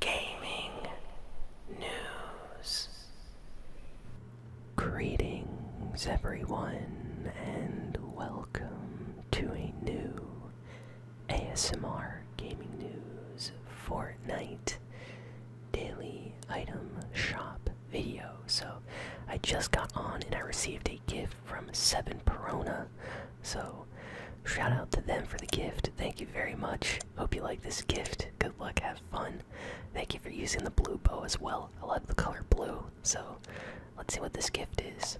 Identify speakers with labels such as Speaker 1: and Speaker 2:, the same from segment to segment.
Speaker 1: gaming news. Greetings, everyone, and welcome to a new ASMR Gaming News Fortnite Daily Item Shop video. So, I just got on and I received a gift from Seven Perona. So, Shout out to them for the gift. Thank you very much. Hope you like this gift. Good luck. Have fun. Thank you for using the blue bow as well. I love the color blue. So let's see what this gift is.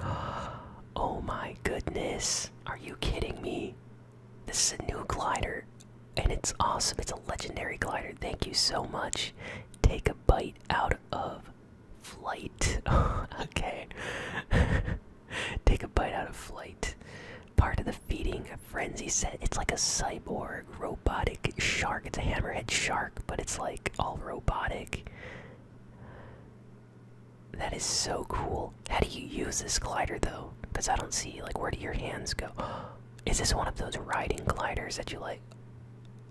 Speaker 1: Oh my goodness. Are you kidding me? This is a new glider. And it's awesome. It's a legendary glider. Thank you so much. Take a bite out of flight. okay. Take a bite out of flight. Part of the feeding frenzy set. It's like a cyborg robotic shark. It's a hammerhead shark, but it's like all robotic. That is so cool. How do you use this glider though? Because I don't see like where do your hands go? Is this one of those riding gliders that you like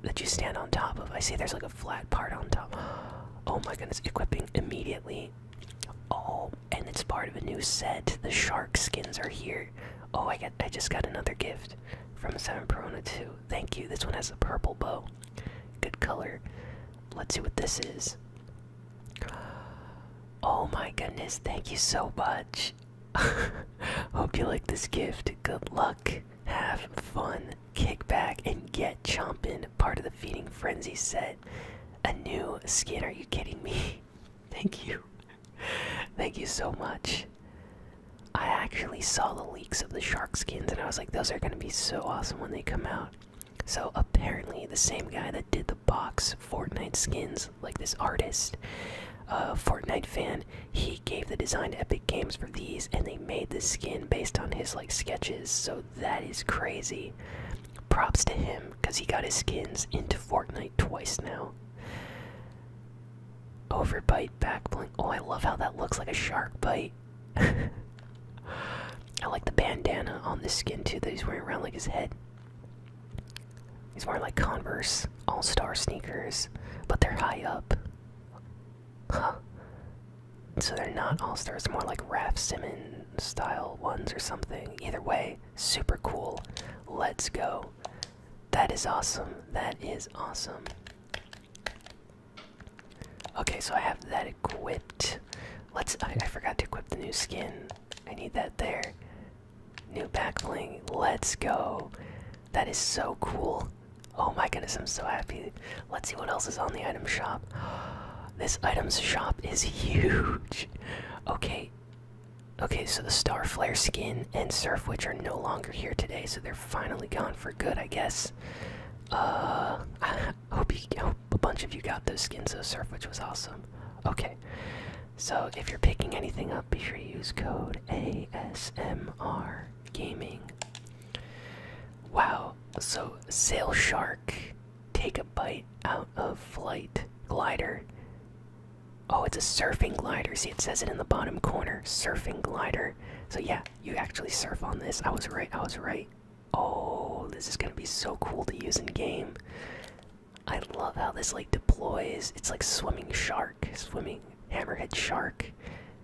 Speaker 1: that you stand on top of? I see there's like a flat part on top. Oh my goodness, equipping immediately. Oh, and it's part of a new set. The shark skins are here. Oh, I got I just got another gift from Seven Perona 2. Thank you. This one has a purple bow. Good color. Let's see what this is. Oh my goodness, thank you so much. Hope you like this gift. Good luck. Have fun kick back and get chomping. Part of the feeding frenzy set. A new skin. Are you kidding me? Thank you. Thank you so much. I actually saw the leaks of the shark skins and I was like, those are going to be so awesome when they come out. So apparently, the same guy that did the box Fortnite skins, like this artist, a Fortnite fan, he gave the design to Epic Games for these, and they made the skin based on his like sketches. So that is crazy. Props to him, because he got his skins into Fortnite twice now. Overbite, back blink. Oh, I love how that looks like a shark bite. I like the bandana on this skin too that he's wearing around like his head. He's wearing like Converse All Star sneakers, but they're high up. Huh. So they're not all stars, more like Raph Simon style ones or something. Either way, super cool. Let's go. That is awesome. That is awesome. Okay, so I have that equipped. Let's. I, forgot to equip the new skin. I need that there. New backfling. Let's go. That is so cool. Oh my goodness, I'm so happy. Let's see what else is on the item shop. This item's shop is huge. Okay. Okay, so the Star Flare skin and Surf Witch are no longer here today, so they're finally gone for good, I guess. Uh, hope, you, hope a bunch of you got those skins, though, Surf Witch was awesome. Okay, so if you're picking anything up, be sure to use code ASMR Gaming. Wow, so sail shark. Take a bite out of flight glider. Oh, it's a surfing glider. See, it says it in the bottom corner. Surfing glider. So, yeah, you actually surf on this. I was right, I was right. Oh, this is gonna be so cool to use in game. I love how this like deploys. It's like swimming shark, swimming hammerhead shark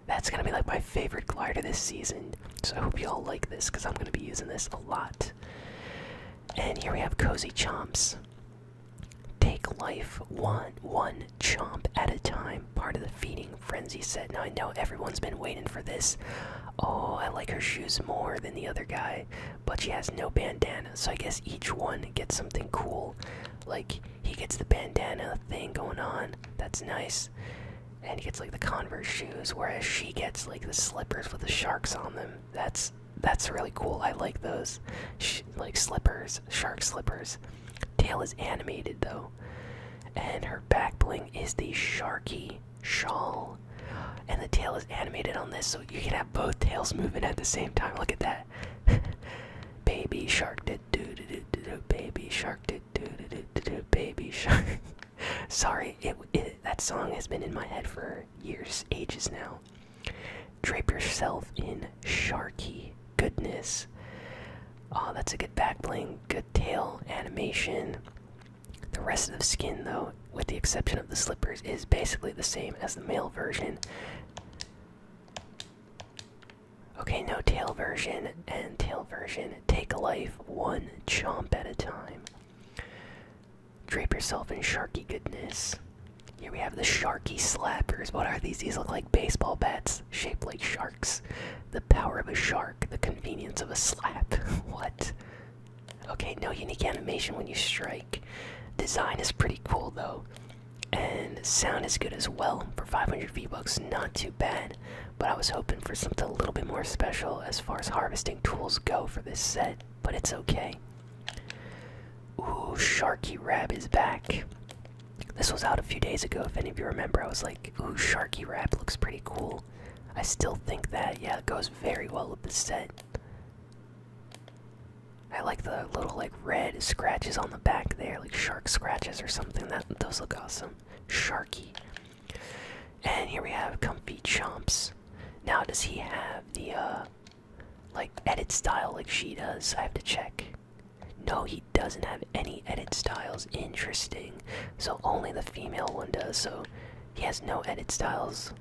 Speaker 1: that's gonna be like my favorite glider this season. So I hope you all like this because I'm gonna be using this a lot. And here we have Cozy Chomps. Take life one one chomp at a time. Part of the feeding frenzy set. Now I know everyone's been waiting for this. Oh, I like her shoes more than the other guy, but she has no bandana. So I guess each one gets something cool. Like he gets the bandana thing going on. That's nice and he gets like the Converse shoes, whereas she gets like the slippers with the sharks on them. That's that's really cool. I like those, like slippers, shark slippers. Tail is animated though, and her back bling is the sharky shawl, and the tail is animated on this, so you can have both tails moving at the same time. Look at that, baby shark did do do do do, do, baby shark did. baby shark. Sorry, it, it that song has been in my head for years, ages now. Drape yourself in sharky goodness. Oh, that's a good back bling, good tail animation. The rest of the skin, though, with the exception of the slippers, is basically the same as the male version. Okay, no tail version and tail version. Take life one chomp at a time. Drape yourself in sharky goodness. Here we have the sharky slappers. What are these? These look like baseball bats shaped like sharks. The power of a shark, the convenience of a slap. what? Okay, no unique animation when you strike. Design is pretty cool though. And sound is good as well. For 500 V-Bucks, not too bad but I was hoping for something a little bit more special as far as harvesting tools go for this set, but it's okay. Ooh, Sharky Rab is back. This was out a few days ago, if any of you remember. I was like, ooh, Sharky Rab looks pretty cool. I still think that, yeah, it goes very well with the set. I like the little like red scratches on the back there, like shark scratches or something. That those look awesome. Sharky. And here we have Comfy Chomps. Now, does he have the, uh, like, edit style like she does? I have to check. No, he doesn't have any edit styles. Interesting. So, only the female one does, so he has no edit styles.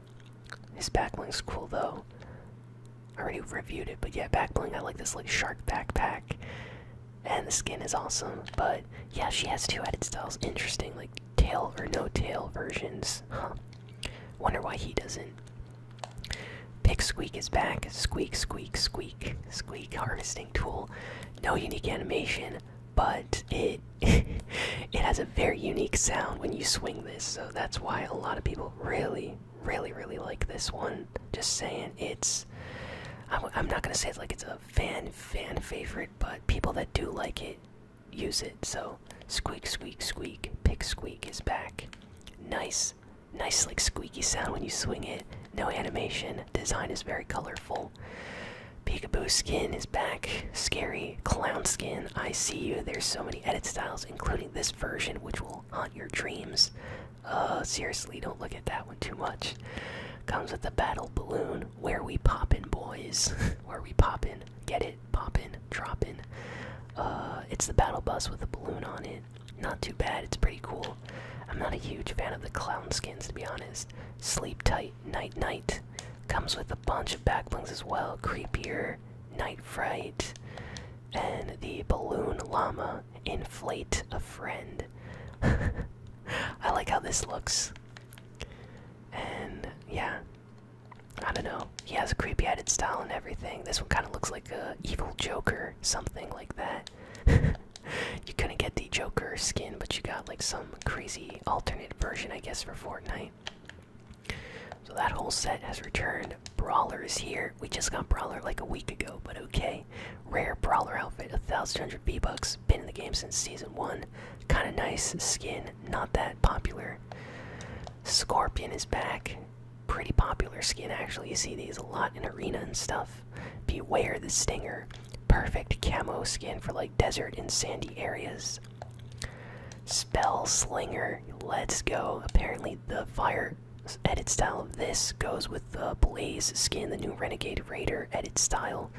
Speaker 1: His backlink's cool, though. I already reviewed it, but yeah, backbling, I like this, like, shark backpack and the skin is awesome. But yeah, she has two added styles. Interesting, like tail or no tail versions. Huh. Wonder why he doesn't. Pick Squeak is back. Squeak, squeak, squeak, squeak. Harvesting tool. No unique animation, but it it has a very unique sound when you swing this. So that's why a lot of people really, really, really like this one. Just saying, it's I'm, not gonna say it's like it's a fan fan favorite, but people that do like it use it. So squeak squeak squeak, pick squeak is back. Nice, nice like squeaky sound when you swing it. No animation. Design is very colorful. Peekaboo skin is back. Scary clown skin. I see you. There's so many edit styles, including this version, which will Soul, Your Dreams. Uh, seriously, don't look at that one too much. Comes with the Battle Balloon, Where We Poppin' Boys. Where We Poppin', get it, poppin', droppin'. Uh, it's the Battle Bus with a balloon on it. Not too bad, it's pretty cool. I'm not a huge fan of the clown skins, to be honest. Sleep Tight, Night Night. Comes with a bunch of backblings as well. Creepier, Night Fright, and the Balloon Llama inflate a friend. I like how this looks. And yeah, I don't know. He has a creepy headed style and everything. This one kind of looks like a evil Joker, something like that. you couldn't get the Joker skin, but you got like some crazy alternate version, I guess, for Fortnite. So that whole set has returned. Brawler is here. We just got Brawler like a week ago, but okay. Rare brawler outfit, a thousand hundred B bucks. Been in the game since season one. Kind of nice skin, not that popular. Scorpion is back. Pretty popular skin actually. You see these a lot in arena and stuff. Beware the stinger. Perfect camo skin for like desert and sandy areas. Spell slinger. Let's go. Apparently the fire edit style of this goes with the Blaze skin, the new Renegade Raider edit style.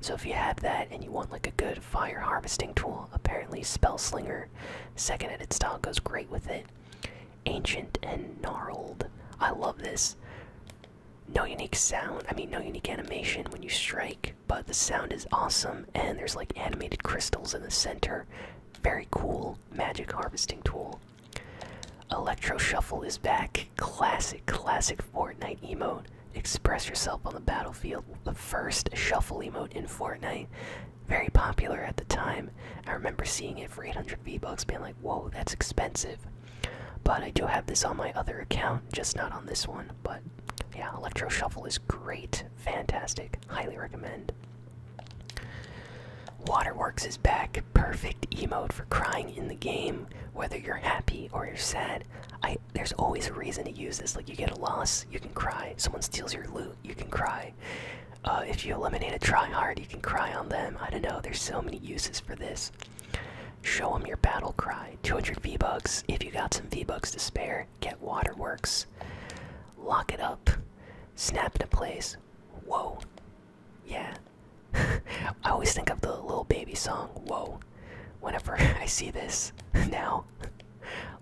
Speaker 1: So if you have that and you want like a good fire harvesting tool, apparently Spell Slinger, second edit style goes great with it. Ancient and gnarled. I love this. No unique sound, I mean, no unique animation when you strike, but the sound is awesome, and there's like animated crystals in the center. Very cool magic harvesting tool. Electro Shuffle is back. Classic, classic Fortnite emote. Express yourself on the battlefield. The first shuffle emote in Fortnite. Very popular at the time. I remember seeing it for 800 V-Bucks, being like, whoa, that's expensive. But I do have this on my other account, just not on this one. But yeah, Electro Shuffle is great. Fantastic. Highly recommend. Waterworks is back. Perfect emote for crying in the game. Whether you're happy or you're sad, there's always a reason to use this. Like you get a loss, you can cry. Someone steals your loot, you can cry. Uh, if you eliminate a tryhard, you can cry on them. I don't know. There's so many uses for this. Show them your battle cry. 200 V bucks. If you got some V bucks to spare, get Waterworks. Lock it up. Snap into place. Whoa. Yeah. I always think of the little baby song, Whoa. Whenever I see this now,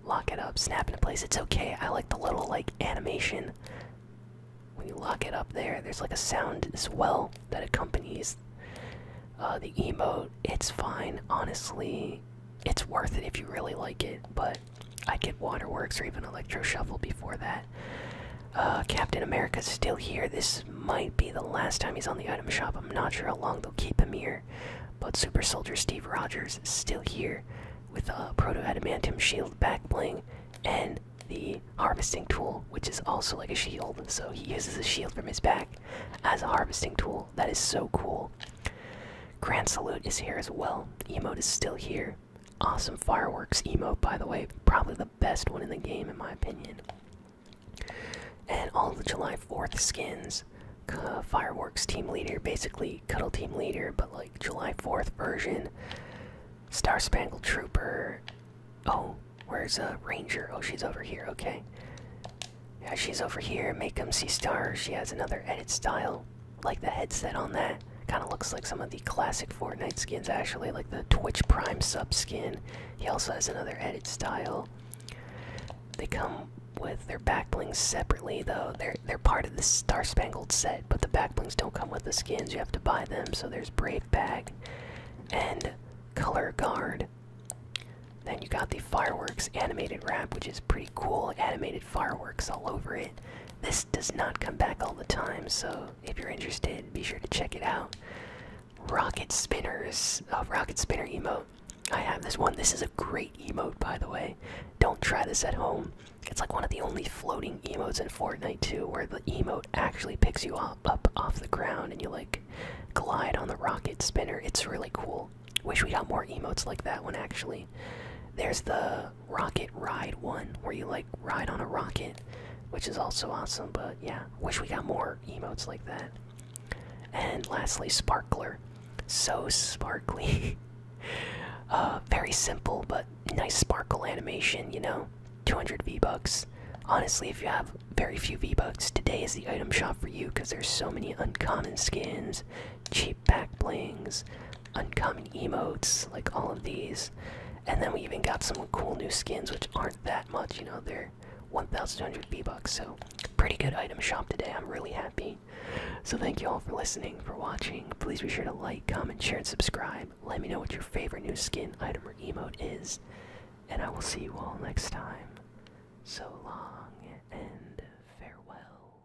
Speaker 1: lock it up, snap into place. It's okay. I like the little like animation. When you lock it up there, there's like a sound as well that accompanies uh, the emote. It's fine, honestly. It's worth it if you really like it, but I get Waterworks or even Electro Shuffle before that. Uh, Captain America's still here. This might be the last time he's on the item shop. I'm not sure how long they'll keep him here. But Super Soldier Steve Rogers is still here with a Proto Adamantium Shield back bling and the harvesting tool, which is also like a shield. So he uses a shield from his back as a harvesting tool. That is so cool. Grand Salute is here as well. Emote is still here. Awesome fireworks emote, by the way. Probably the best one in the game, in my opinion. And all the July 4th skins. fireworks team leader, basically Cuddle team leader, but like July 4th version. Star Spangled Trooper. Oh, where's a uh, Ranger? Oh, she's over here, okay. Yeah, she's over here. Make them see stars. She has another edit style like the headset on that kind of looks like some of the classic Fortnite skins actually, like the Twitch Prime sub skin. He also has another edit style. They come with their backblings separately though. They're they're part of the Star Spangled set, but the backblings don't come with the skins. You have to buy them. So there's Brave Bag and Color Guard. Then you got the fireworks animated wrap, which is pretty cool. Animated fireworks all over it. This does not come back all the time, so if you're interested, be sure to check it out. Rocket spinners, a oh, uh, rocket spinner emote. I have this one. This is a great emote, by the way. Don't try this at home. It's like one of the only floating emotes in Fortnite too, where the emote actually picks you up, off the ground and you like glide on the rocket spinner. It's really cool. Wish we had more emotes like that one actually. There's the rocket ride one where you like ride on a rocket, which is also awesome, but yeah, wish we got more emotes like that. And lastly, Sparkler. So sparkly. Uh, very simple, but nice sparkle animation, you know? 200 V-Bucks. Honestly, if you have very few V-Bucks, today is the item shop for you because there's so many uncommon skins, cheap back blings, uncommon emotes, like all of these. And then we even got some cool new skins, which aren't that much, you know, they're 1,200 V-Bucks, so pretty good item shop today, I'm really happy. So thank you all for listening, for watching, please be sure to like, comment, share, and subscribe. Let me know what your favorite new skin, item, or emote is, and I will see you all next time. So long, and farewell.